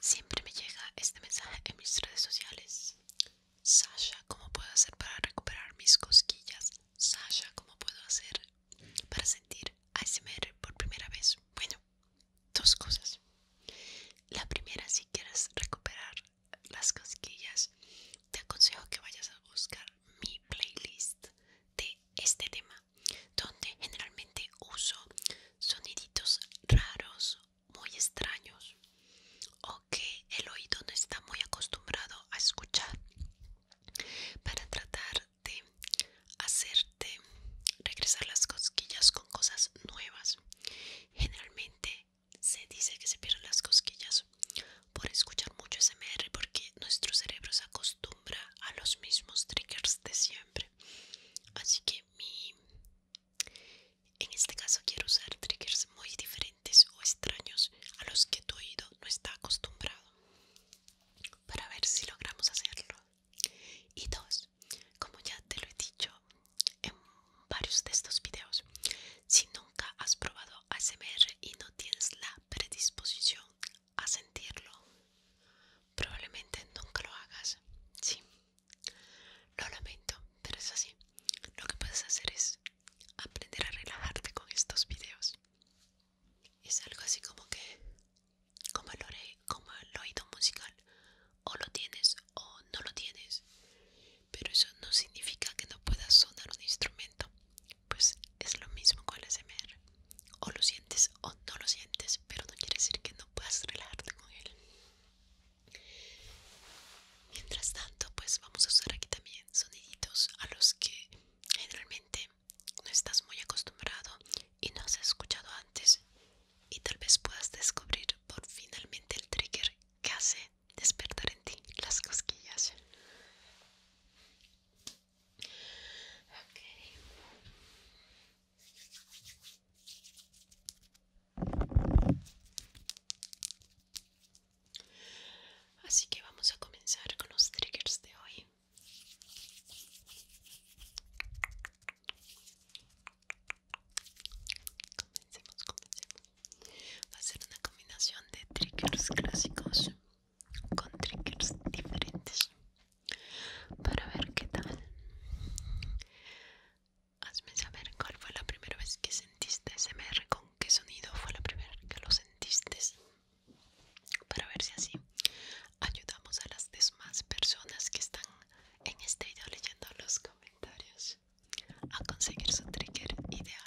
Siempre me llega este mensaje en mis redes sociales. Sasha, ¿cómo puedo hacer para recuperar mis cosquillas? Sasha, ¿cómo puedo hacer para sentir ASMR por primera vez? Bueno, dos cosas. La primera, si quieres recuperar las cosquillas, te aconsejo que vayas a buscar mi playlist de este tema donde generalmente uso soniditos raros, muy extraños o que el oído no está muy acostumbrado a escuchar para tratar de hacerte regresar las cosquillas con cosas nuevas. Generalmente se dice que se pierden las cosquillas por escuchar mucho SMR porque nuestro cerebro se acostumbra a los mismos triggers de siempre. Así que en este caso quiero usar triggers muy diferentes o extraños a los que tu oído no está acostumbrado para ver si logramos hacerlo. Y dos, como ya te lo he dicho en varios de estos videos, si nunca has probado ASMR y no tienes la predisposición a sentirlo, probablemente nunca lo hagas. Sí. Lo lamento, pero es así. Lo que puedes hacer es aprender a relajarte con estos videos. Es algo así como que, como el, oído musical, o lo tienes o no lo tienes. Pero eso no significa que no puedas sonar un instrumento. Pues es lo mismo con el SMR. O lo sientes o no lo sientes, pero no quiere decir que no puedas relajarte con él mientras tanto pues vamos a usar aquí también soniditos a los que generalmente no estás muy acostumbrado y no has escuchado antes y tal vez puedas descubrir por finalmente el trigger que hace despertar en ti las cosquillas Así que vamos a comenzar con los triggers de hoy. Comencemos, comencemos. Va a ser una combinación de triggers clásicos con triggers diferentes para ver qué tal. Hazme saber cuál fue la primera vez que sentiste SMR, con qué sonido fue la primera vez que lo sentiste, para ver si así ayudamos a las demás personas que están en este video leyendo los comentarios a conseguir su trigger ideal.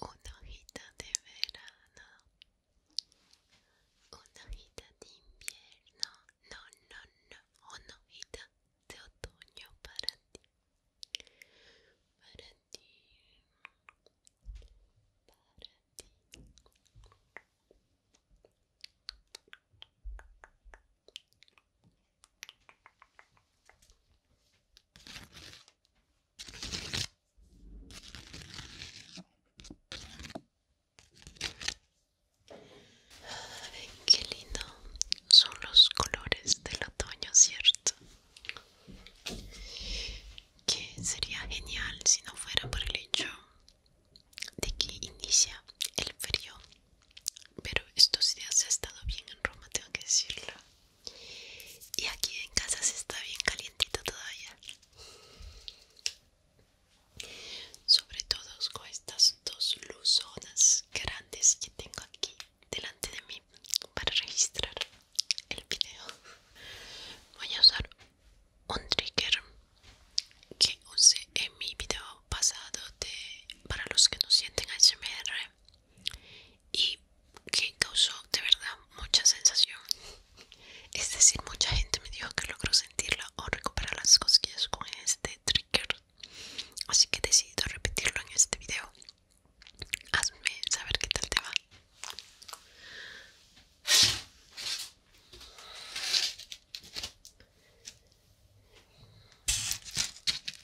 una hojita de verano, una hojita de invierno, no, no, no, una hojita de otoño para ti, para ti, para ti. Para ti, para ti, para para ti, para ti, para ti qué lindo son los colores del otoño, ¿cierto? Que sería genial si no fuera por el hecho de que inicia el frío pero estos días ha estado bien en Roma, tengo que decirlo. Y aquí en casa se está bien calientito todavía. Sobre todo con estas dos luzonas grandes que tengo aquí delante de mí para registrar el video. Voy a usar un trigger que usé en mi video pasado de para los que no sienten HMR y que causó de verdad mucha sensación. Es decir, mucha gente me dijo que logró sentirla o recuperar las cosquillas con este trigger. Así que he decidido repetirlo en este video. Hazme saber qué tal te va.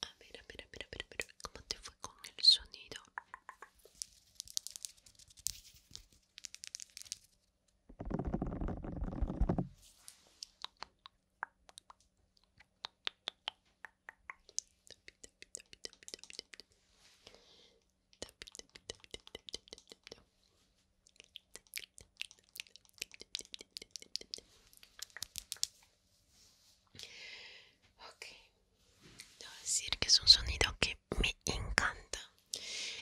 A ver, a ver, a ver, a ver, ¿cómo te fue con el sonido? Ok, debo decir que es un sonido que me encanta.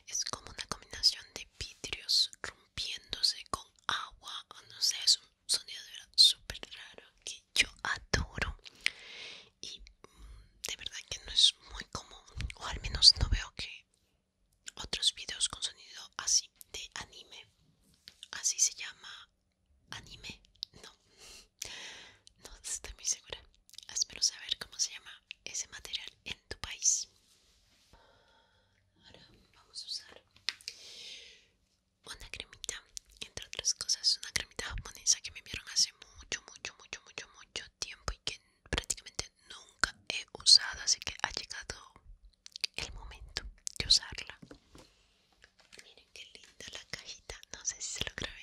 Es como una combinación de vidrios rompiéndose con agua. No sé, es un sonido de súper raro que yo adoro. Y de verdad que no es muy común o al menos no veo que otros videos con sonido así de anime así se llama anime no no estoy muy segura espero saber cómo se llama ese material en tu país ahora vamos a usar una cremita entre otras cosas una cremita japonesa que me vieron hace mucho mucho mucho mucho mucho tiempo que prácticamente nunca he usado así que ha llegado el momento de usarla miren qué linda la cajita no sé si se logra ver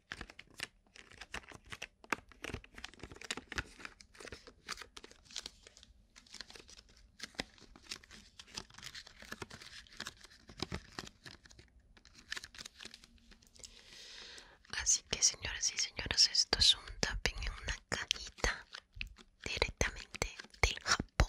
Así que señoras y señores esto es un tapping en una cajita directamente del Japón.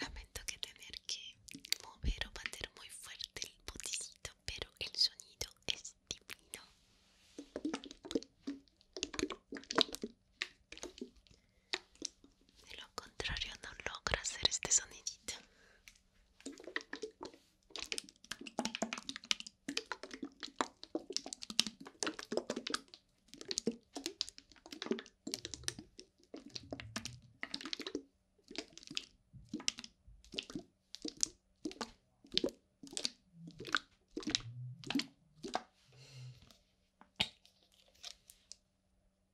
Lamento que tener que mover o bater muy fuerte el boticito, pero el sonido es divino. De lo contrario no logra hacer este sonidito.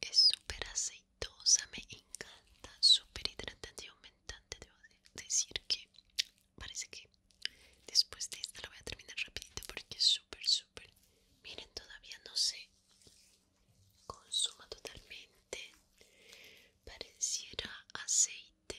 Es súper aceitosa, me encanta, súper hidratante y aumentante. Debo decir que parece que después de esta la voy a terminar rapidito porque es súper, súper. Miren, todavía no se consuma totalmente. Pareciera aceite.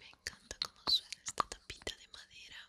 Me encanta cómo suena esta tapita de madera.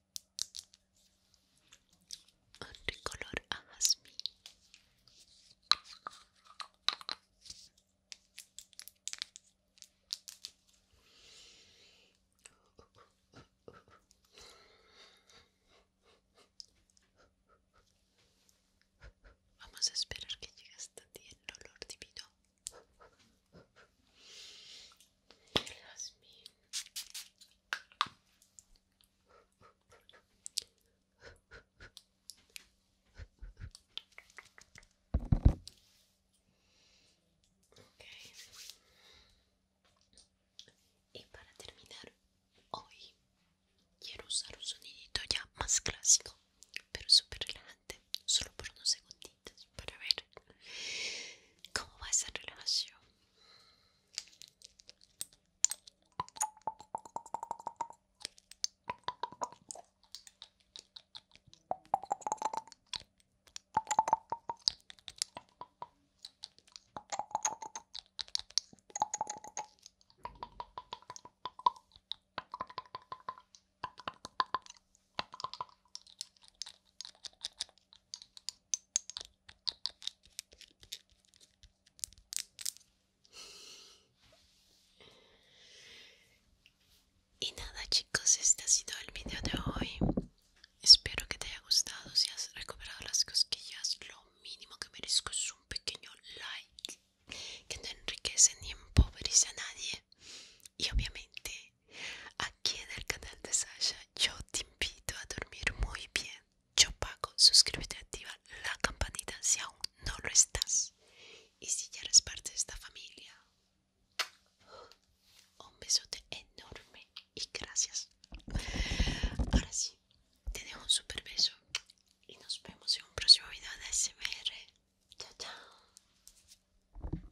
un color a Vamos a esperar que llegue hasta ti el olor divino y para terminar, hoy quiero usar un sonidito ya más clásico, pero súper relajante, solo por unos segunditos para ver cómo va esa relación y nada chicos, este ha sido el video de hoy. Espero que te haya gustado. Si has recuperado las cosquillas, lo mínimo que merezco es un pequeño like que no enriquece ni empobrece a nadie. Y obviamente Aquí en el canal de Sasha yo te invito a dormir muy bien. Yo pago, suscríbete, activa la campanita si aún no lo estás. Y si ya eres parte de esta familia, un besote enorme y gracias. Ahora sí, te dejo un super beso y nos vemos en un próximo video de SMR. Chao, chao.